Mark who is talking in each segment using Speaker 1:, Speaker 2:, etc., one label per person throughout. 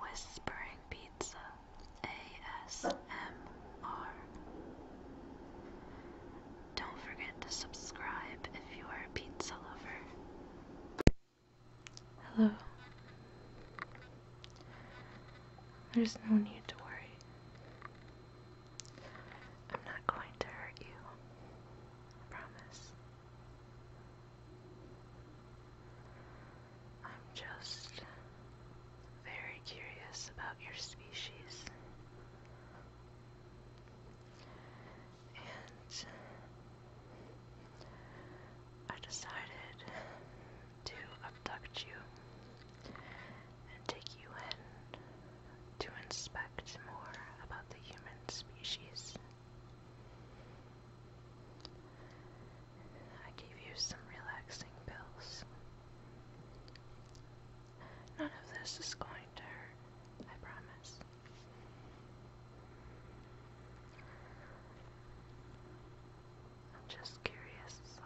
Speaker 1: Whispering Pizza ASMR. Don't forget to subscribe if you are a pizza lover. Hello. There's no need to worry. I'm not going to hurt you. promise. I'm just very curious about your species. And I decided to abduct you and take you in to inspect more about the human species. I gave you some relaxing pills. None of this is going to hurt, I promise. I'm just curious, that's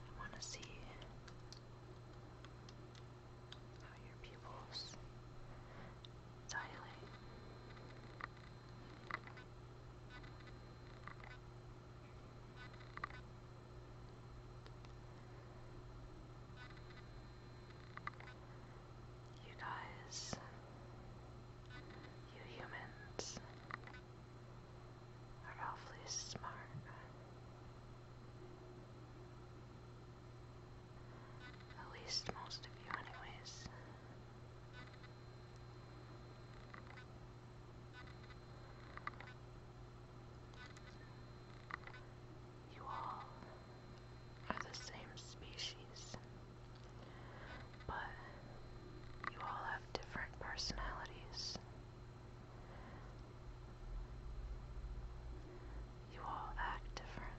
Speaker 1: I want to see how your pupils dilate. You guys, you humans, are awfully smart. At least most of you, anyways. You all are the same species, but you all have different personalities. You all act different.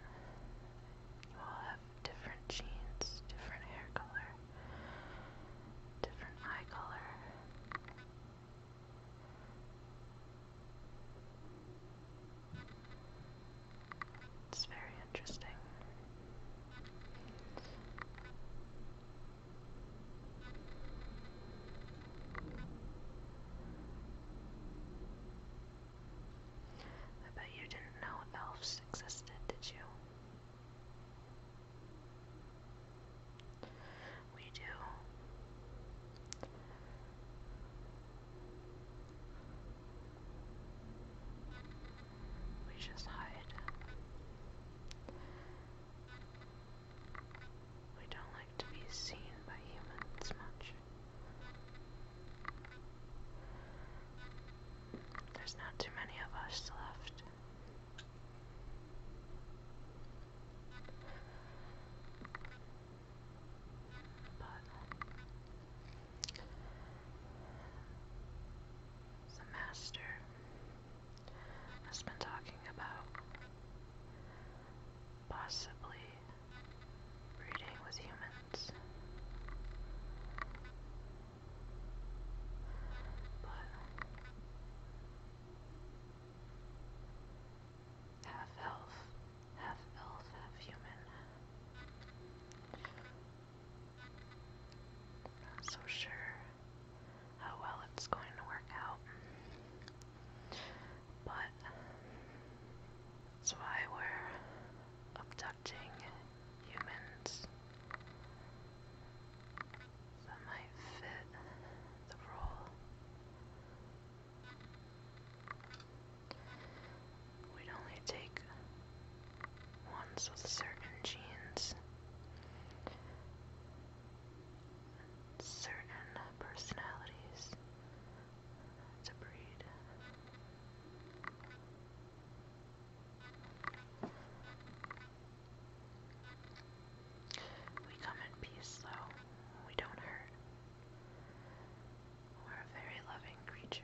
Speaker 1: You all have different genes, different hair color, different eye color. It's very interesting. I bet you didn't know elves existed, did you? We do. We just hide. We don't like to be seen by humans much. There's not too many of us left. But the master has been talking about possibly breeding with humans. But half elf, half elf, half human. not so sure how oh, well it's going to work out. But that's why we're abducting humans that might fit the role. We'd only take ones with certain genes certain personalities to breed. We come in peace, though. We don't hurt. We're a very loving creature.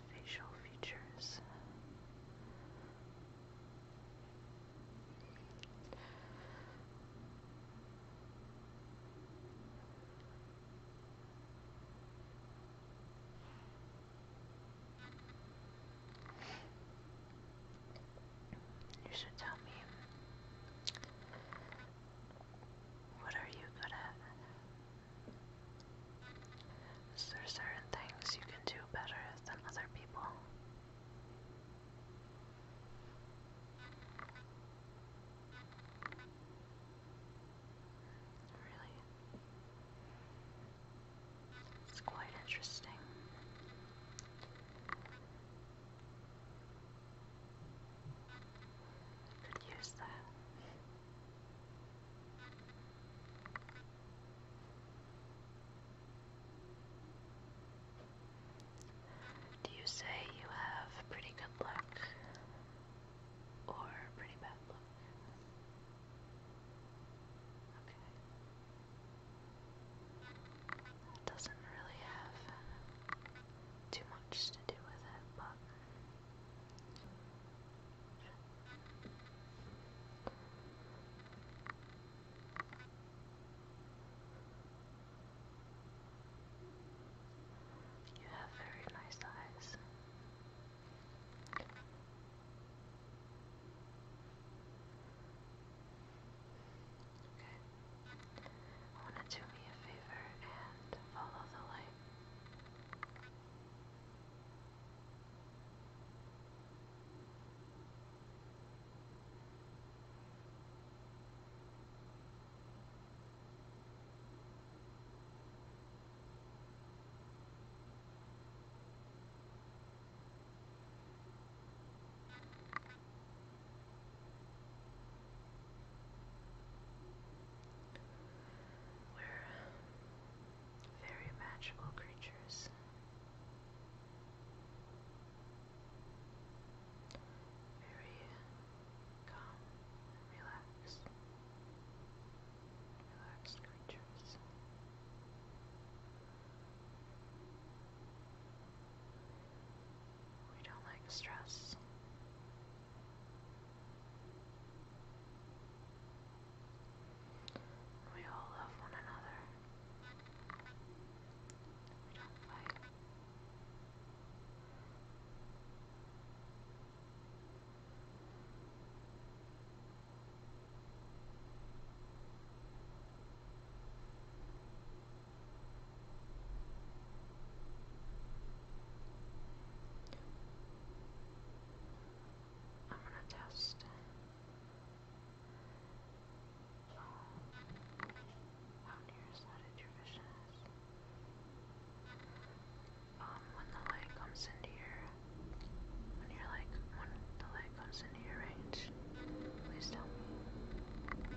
Speaker 1: facial features. You should tell me what are you good at? Is there certain things you can do better than other people? Really? It's quite interesting. Could use that. Do you say you have pretty good luck or pretty bad luck? Okay. That doesn't really have too much to do with it, but you have very nice eyes. Okay. want to do me a favor and follow the light. We're very magical creatures. Very calm relaxed. Relaxed creatures. We don't like stress. We all love one another. We don't fight. I'm gonna test. So, how nearsighted your vision Um, when the light comes into your, when you're like, when the light comes into your range, please tell me. Good.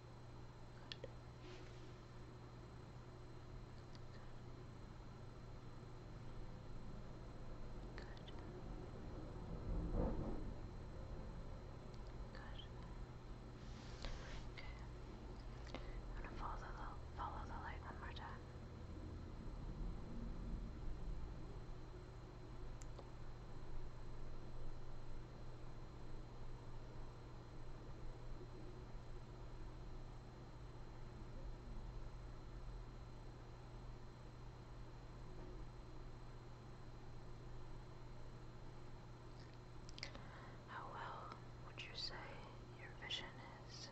Speaker 1: I'm gonna follow the follow the light one more time. How well would you say your vision is?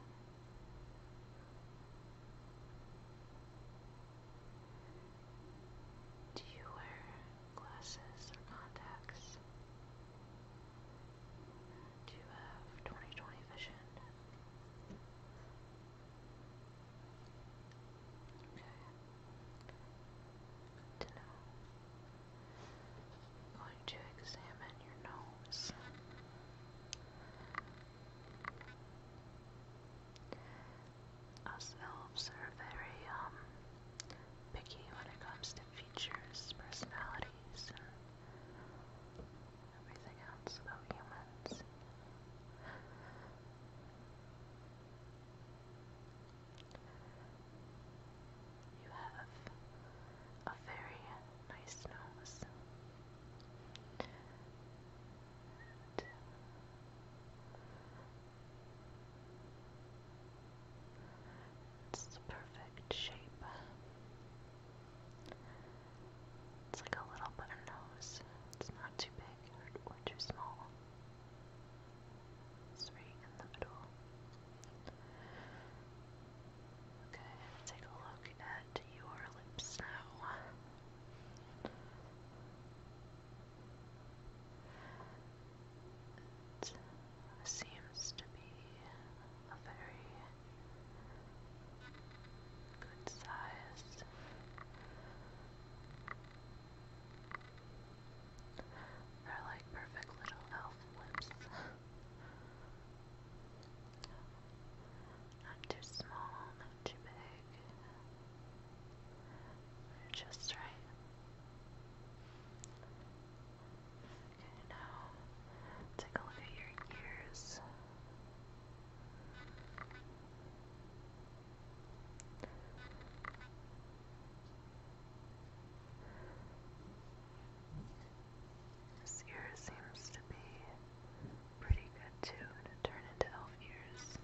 Speaker 1: Do you wear glasses or contacts? to have 2020 vision. Okay. to know. going to examine your nose. Us elves are very um picky when it comes to features personalities and everything else about humans. You have a very nice nose. It's the perfect shape. It's like a little button nose. It's not too big or, too small. It's in the middle. Okay, take a look at your lips now. It seems to be a very good size. They're like perfect little elf lips. Not too small, not too big. They're just right. Okay, now take a look at your ears. This ear seems to be pretty good too turn into elf ears.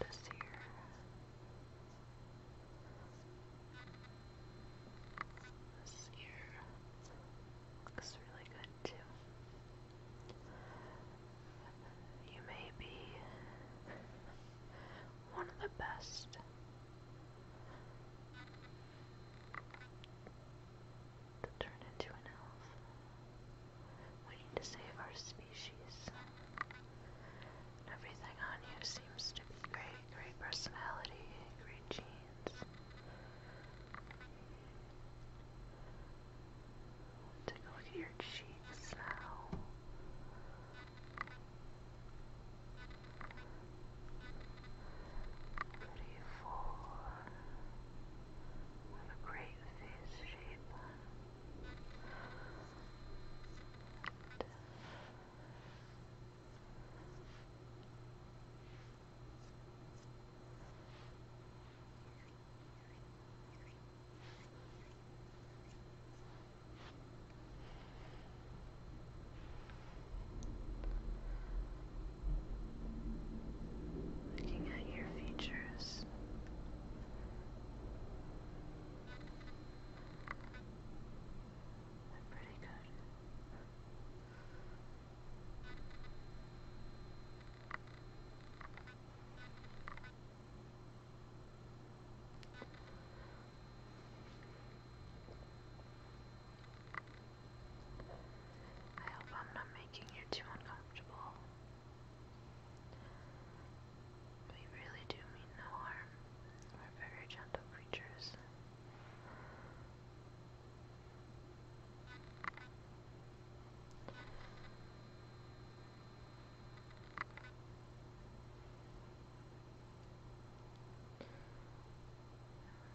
Speaker 1: This ear. This ear looks really good too. You may be one of the best. To turn into an elf. We need to save our species everything on you seems to be great. Great personality, great genes. Take a look at your cheeks now. Pretty full. What a great face shape. Looking at your features. I hope I'm not making you too uncomfortable. We really do mean no harm. We're very gentle creatures. I'm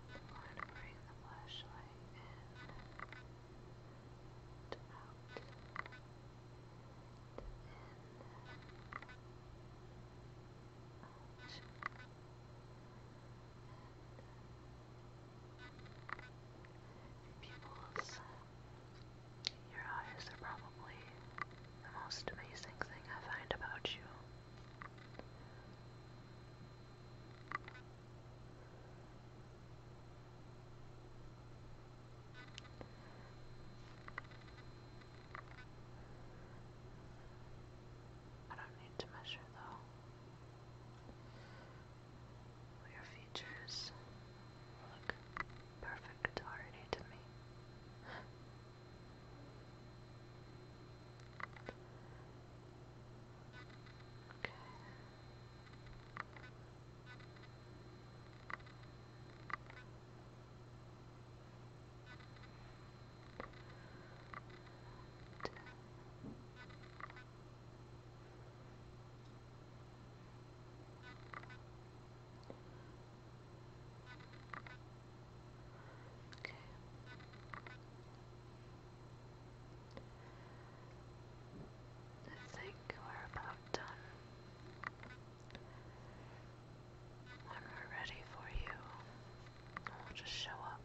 Speaker 1: going to bring the flashlight in to out pupils. Your eyes are probably the most amazing thing I find about you. I don't need to measure though. your features look perfect already to me. Okay. Okay. I think we're about done i we ready for you, we'll just show up.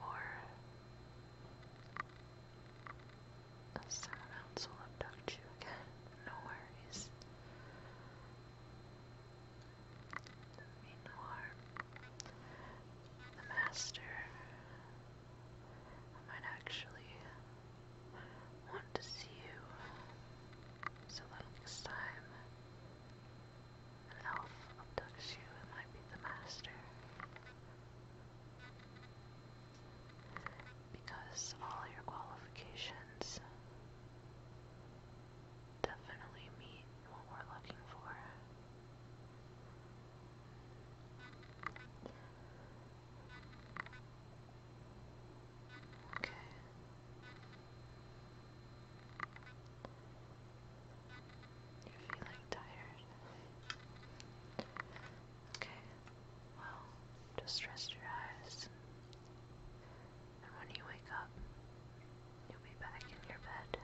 Speaker 1: Or someone else will abduct you again. No worries. Mean no harm. The master might actually want to see you so that next time an elf abducts you, it might be the master. Because all your qualifications definitely meet what we're looking for. Okay. You're feeling tired. Okay. Well, just rest your eyes. And when you wake up, you'll be back in your bed.